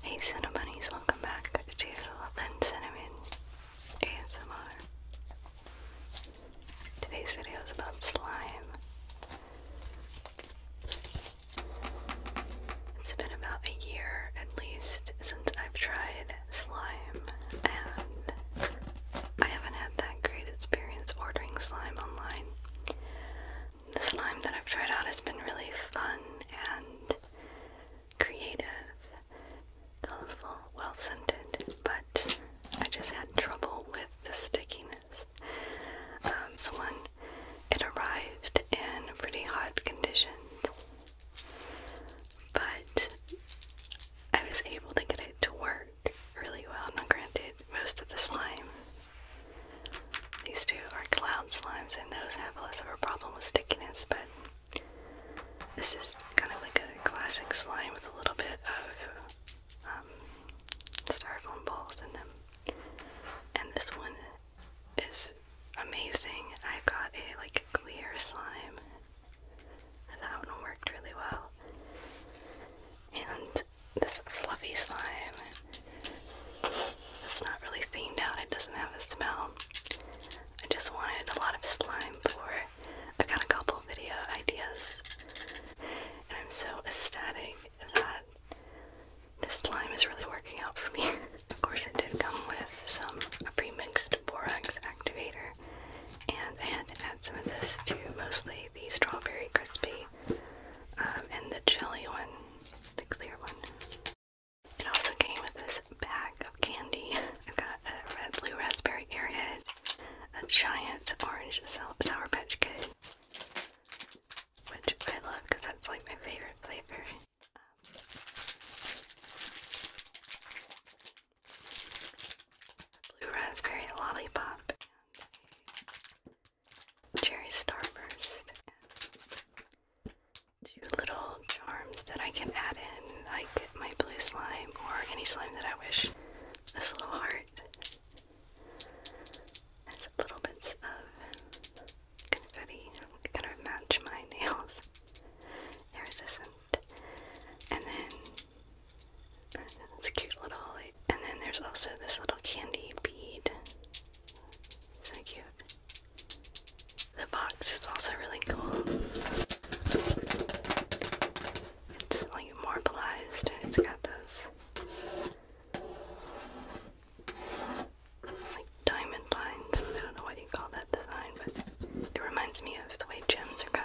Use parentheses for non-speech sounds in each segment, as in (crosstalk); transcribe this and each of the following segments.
Hey Cinnabunnies, welcome back to Lynn Cinnamon ASMR. Today's video is about slime. It's been about a year at least since I've tried slime, and I haven't had that great experience ordering slime online the slime that I've tried out has been really fun and creative, colorful, well scented, but I just had trouble with the stickiness. Um, so when it arrived in pretty hot conditions, but I was able to get it to work really well. Not granted, most of the slime these two are cloud slimes, and those have less of a problem with stickiness, but this is kind of like a classic slime with a little bit of um, styrofoam balls in them. And this one is amazing. I've got a like clear slime, and that one worked really well. And this fluffy slime it's not really themed out, it doesn't have a smell. I just wanted a lot of slime for I got a couple video ideas. And I'm so ecstatic that this slime is really working out for me. (laughs) of course it did come with some a pre-mixed borax activator and I had to add some of this to mostly the strawberry crispy um, and the jelly one, the clear one. It also came with this bag of candy. I've got a red blue raspberry airhead, a giant orange sour patch kid, which I love because that's like my favorite flavor. Um, blue raspberry lollipop cherry starburst two little charms that I can add in, like my blue slime or any slime that I wish. This little heart has little bits of confetti kind match my nails. (laughs) Iridescent. And then it's cute little like, and then there's also this little candy bead. So cute. The box is also really cool. It's like marbleized and it's got those like diamond lines. I don't know what you call that design, but it reminds me of the way gems are cut.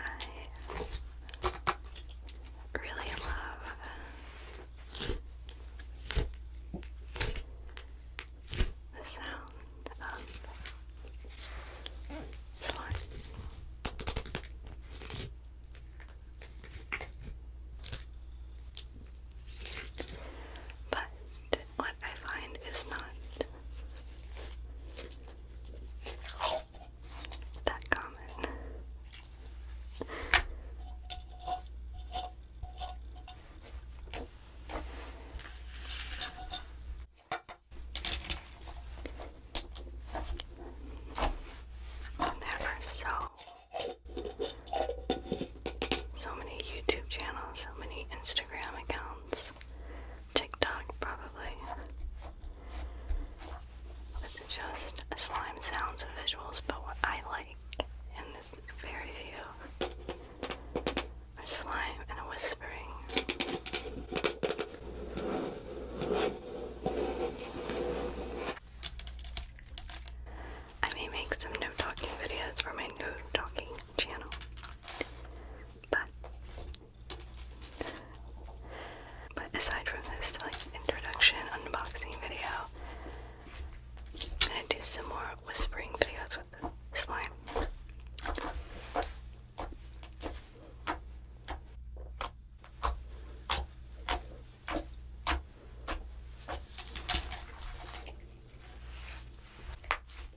I really love the sound of slime. But what I find is not that comment. There are so so many YouTube channels, so many Instagram accounts TikTok probably. It's just slime sounds and visuals, but what I like in this very few are slime and whispering. I may make some no talking videos for my no talking channel, but but aside from this like introduction unboxing video, i do some more whispering videos with this slime.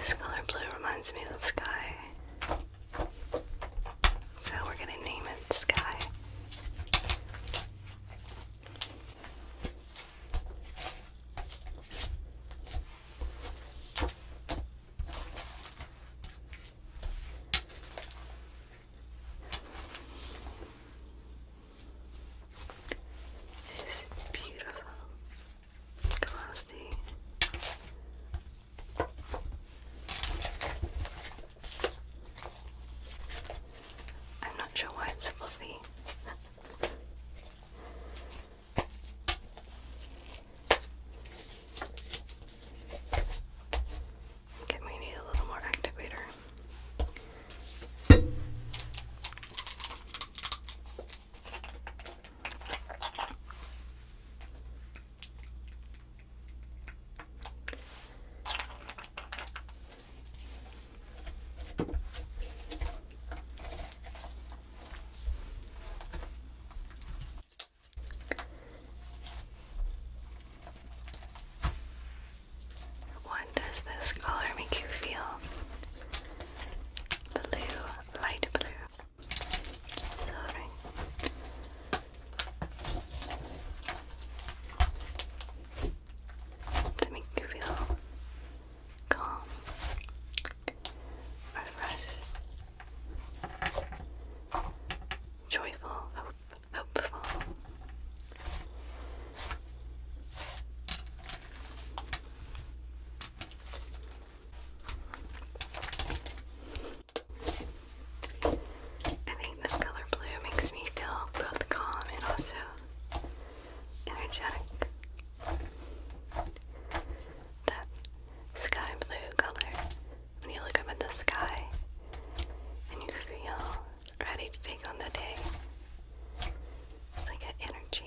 This color blue reminds me of the sky. So we're going to name it Sky. This beautiful, glossy I'm not sure why it's fluffy. Okay, we need a little more activator. What does this color make you feel? Blue, light blue. Sorry to make you feel calm, refreshed, joyful, hope, hopeful. I think this color blue makes me feel both calm and also energetic. That sky blue color, when you look up at the sky and you feel ready to take on the day, it's like an energy.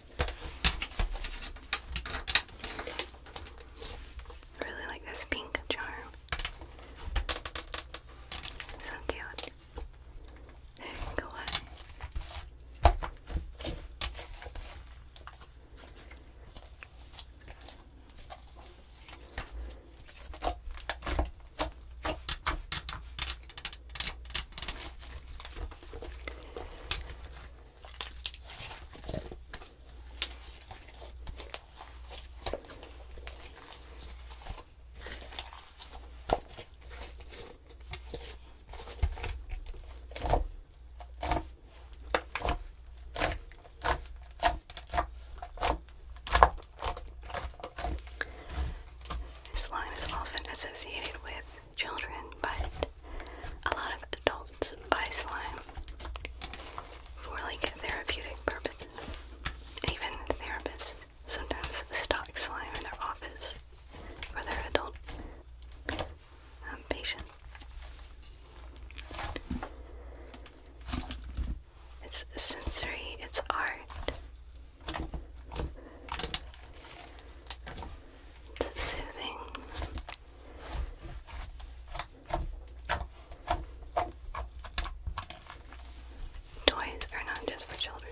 I really like this pink charm. so cute. you (laughs) go on. This line is often associated with children, but a lot of adults buy slime for like therapeutic purposes. Even therapists sometimes stock slime in their office for their adult um, patients. It's sensory, it's art. It's soothing. Toys are not just for children.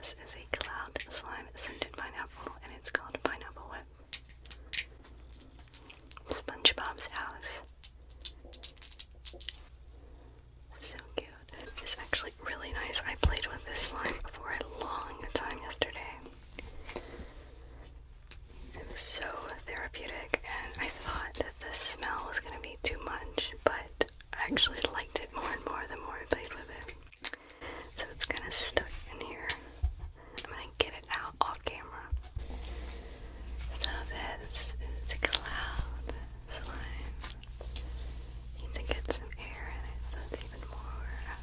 So this is a cloud slime scented pineapple and it's called Pineapple Whip. SpongeBob's house. So cute food. It's actually really nice. I played with this slime for a long time yesterday. It was so therapeutic, and I thought that the smell was going to be too much, but I actually liked it more and more the more I played with it. So it's kind of stuck in here. I'm going to get it out off camera. So this is cloud slime. Need to get some air in it so even more uh,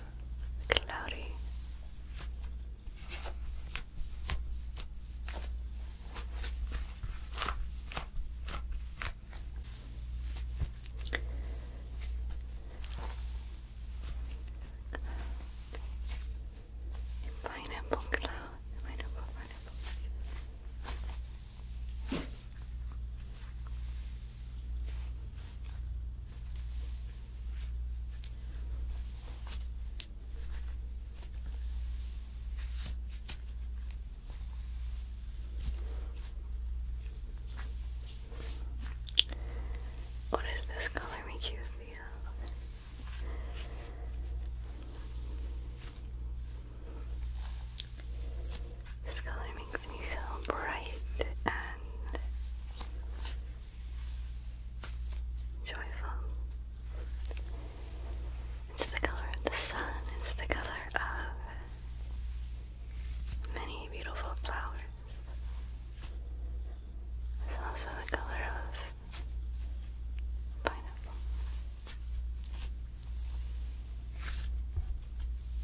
cloudy. pineapple cloud, pineapple, pineapple. What does this color make you feel? This color makes me feel bright and joyful. It's the color of the sun, it's the color of many beautiful flowers. It's also the color of pineapple.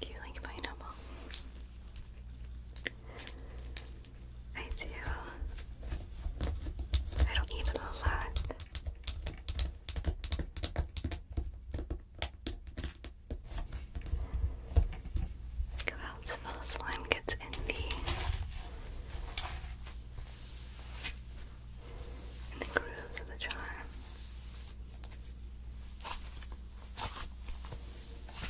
Do you like pineapple? I do. I don't eat it a lot. Look how this slime gets in the in the grooves of the jar.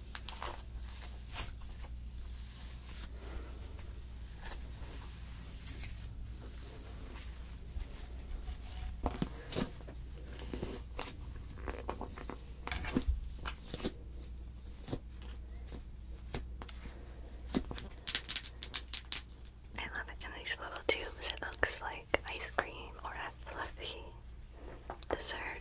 I love it in these little tubes. It looks like ice cream or a fluffy dessert.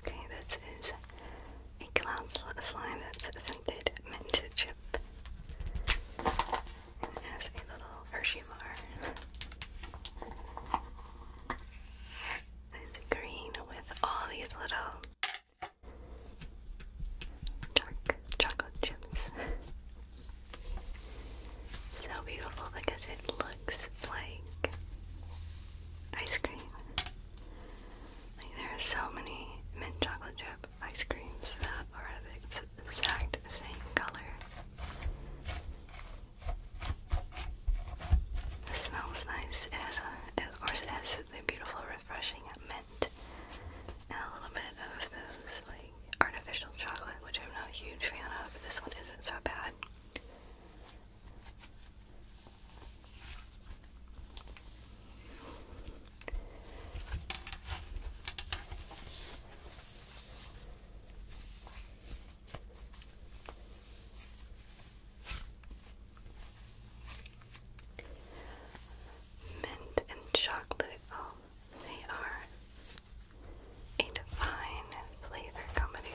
Okay, this is a cloud slime that's scented mint chip. And it has a little Hershey bar. it's green with all these little dark chocolate chips. so beautiful because it looks like ice cream there are so many mint chocolate chip ice creams that are the exact same color. This smells nice. It has of course, it has the beautiful, refreshing mint and a little bit of those like artificial chocolate, which I'm not a huge fan of. But this one isn't so bad. Mint and chocolate, oh, they are a divine flavor combination.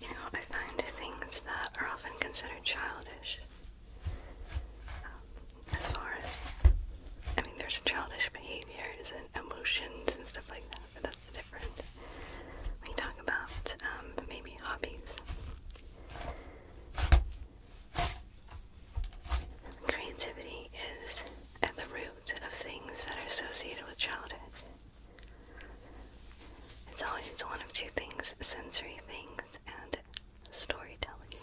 You know, I find things that are often considered childish. Um, as far as, I mean, there's childish behaviors and emotions and stuff like that, but that's different we talk about maybe um, hobbies. Creativity is at the root of things that are associated with childhood. It's always one of two things sensory things and storytelling.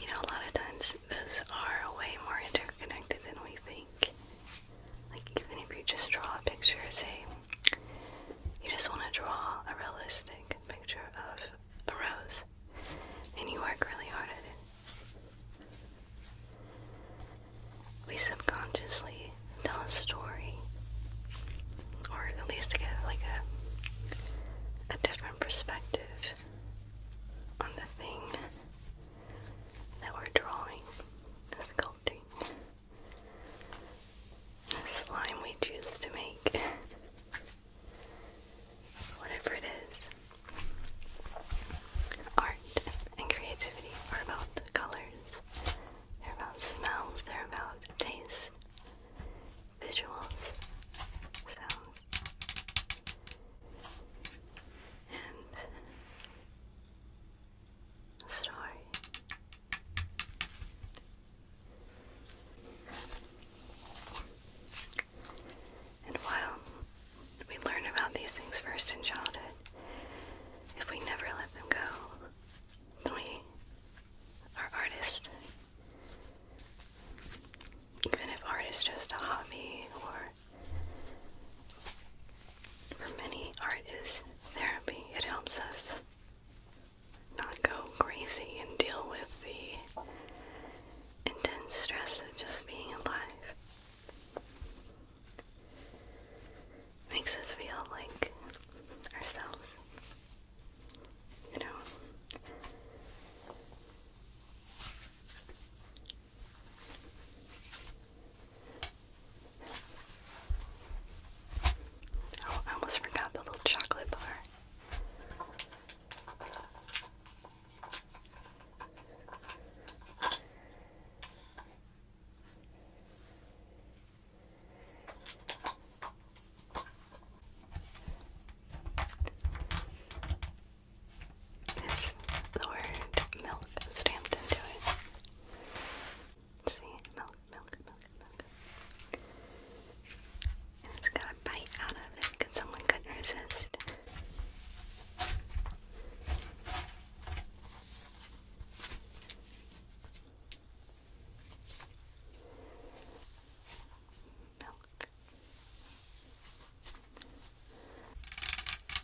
You know, a lot of times those are way more interconnected than we think. Like, even if you just draw a picture, say you just want to draw a realistic picture of a rose, and you work really hard at it. We subconsciously tell a story, or at least give like a a different perspective on the thing that we're drawing, sculpting the slime we choose to make. (laughs) Whatever it is, art and creativity are about colors, they're about smells, they're about taste, visuals, sounds, and story. And while we learn about these things first in childhood, if we never let them go, then we are artists. Even if art is just a hobby or for many, art therapy. It helps us not go crazy and deal with the intense stress of just being alive. Makes us feel like ourselves. You know? Oh, I almost forgot the little chocolate bar. the word milk stamped into it. See, milk, milk, milk, milk. And it's got a bite out of it because someone couldn't resist. Milk.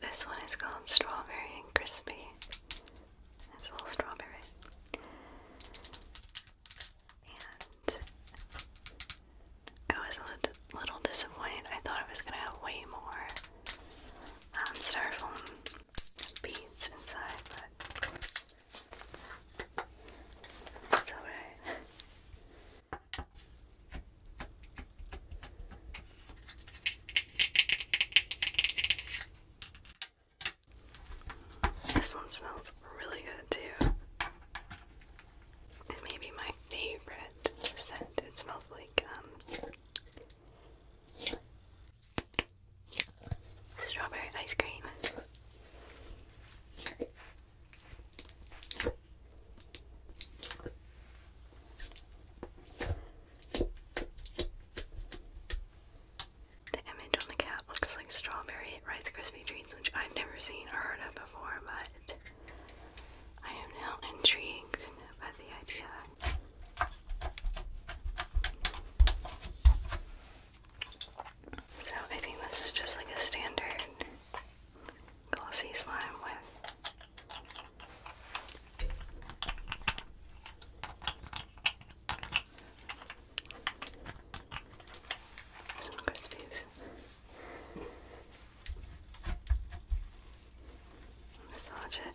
This one is called Strawberry and Crispy. It's a little strawberry. And I was a little, disappointed. I thought I was going to have way more um, beads inside, but it's alright. This one smells really good too. And maybe my favorite scent. It smells like um, strawberry ice cream. The image on the cap looks like strawberry Rice Krispie treats, which I've never seen or heard of before, but I am now intrigued by the idea. So I think this is just like a standard glossy slime with some crispies. Massage it.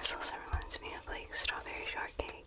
So this also reminds me of like strawberry shortcake.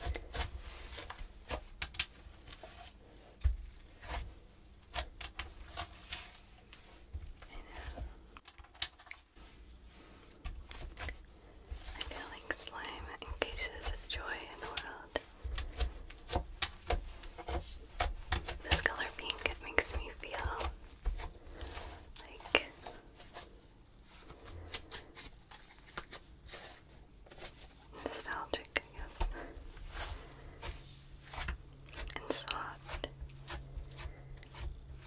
I feel like slime encases joy in the world. This color pink, it makes me feel like nostalgic, And soft.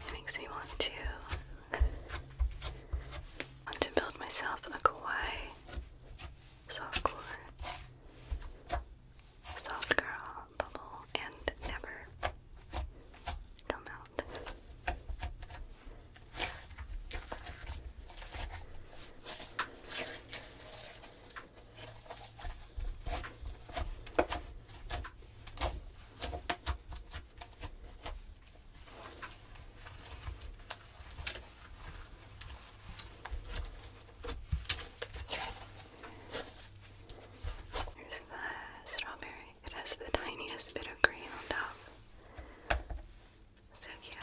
It makes me want to want to build myself a kawaii softcore soft girl bubble and never come out. Here's the strawberry. It has the tiniest bit of green on top. So cute.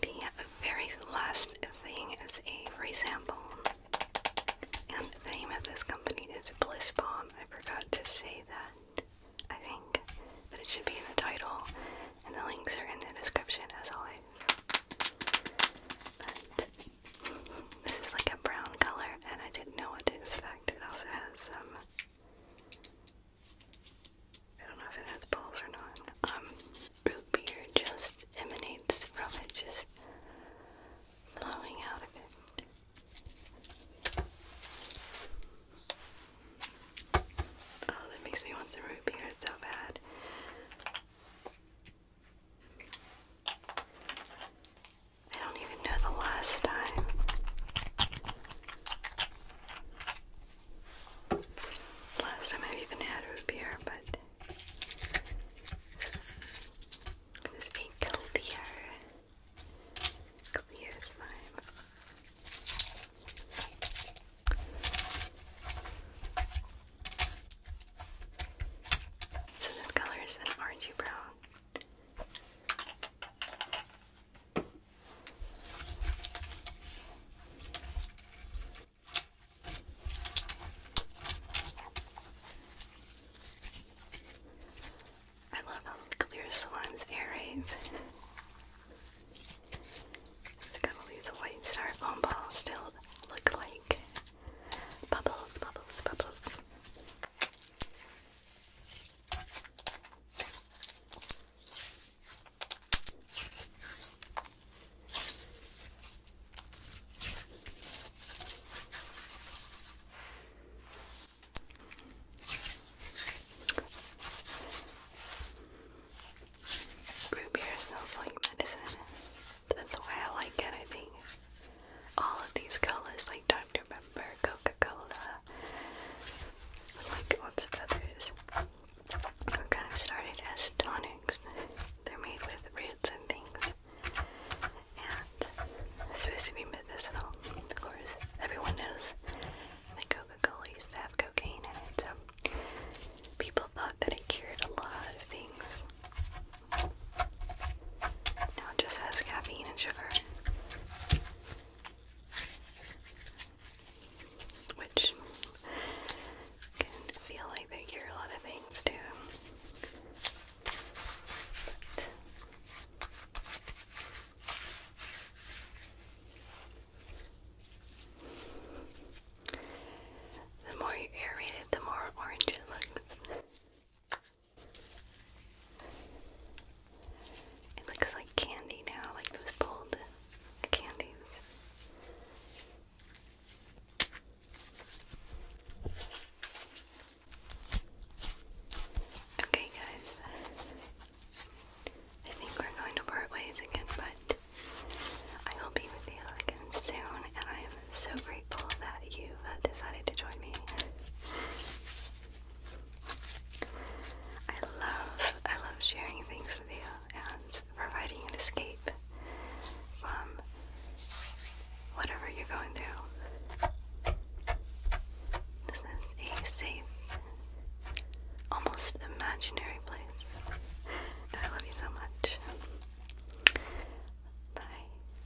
The very last thing is a free sample. And the name of this company is Bliss Bomb. I forgot to say that, I think. But it should be in the title, and the links are in the description as always. This is like a brown color, and I didn't know what to expect. It also has some. Um, I don't know if it has balls or not. Um, root beer just emanates from it, just flowing out of it. Oh, that makes me want some root beer so bad. I don't even know the last time. Last time I've even had a beer, but this ain't clear. Clear slime. So this color is an orangey brown. I love how clear slimes aerate. It's got all these white star balls still look like bubbles, bubbles, bubbles. Root beer smells like medicine. That's why I like it, I think all of these colors like Dr. Pepper, Coca-Cola, like lots of others were kind of started as tonics. They're made with roots and things. And it's supposed to be medicinal, of course. Everyone knows that Coca-Cola used to have cocaine in it, so people thought that it cured a lot of things it just has caffeine and sugar, which can feel like they cure a lot of things too. the more you aerate it, the more orange it looks. It looks like candy now, like those pulled candies. Okay, guys. I think we're going to part ways again, but I will be with you again soon, and I so grateful that you've uh, decided to join me. I love, I love sharing things with you and providing an escape from whatever you're going through. This is a safe, almost imaginary place. I love you so much. Bye.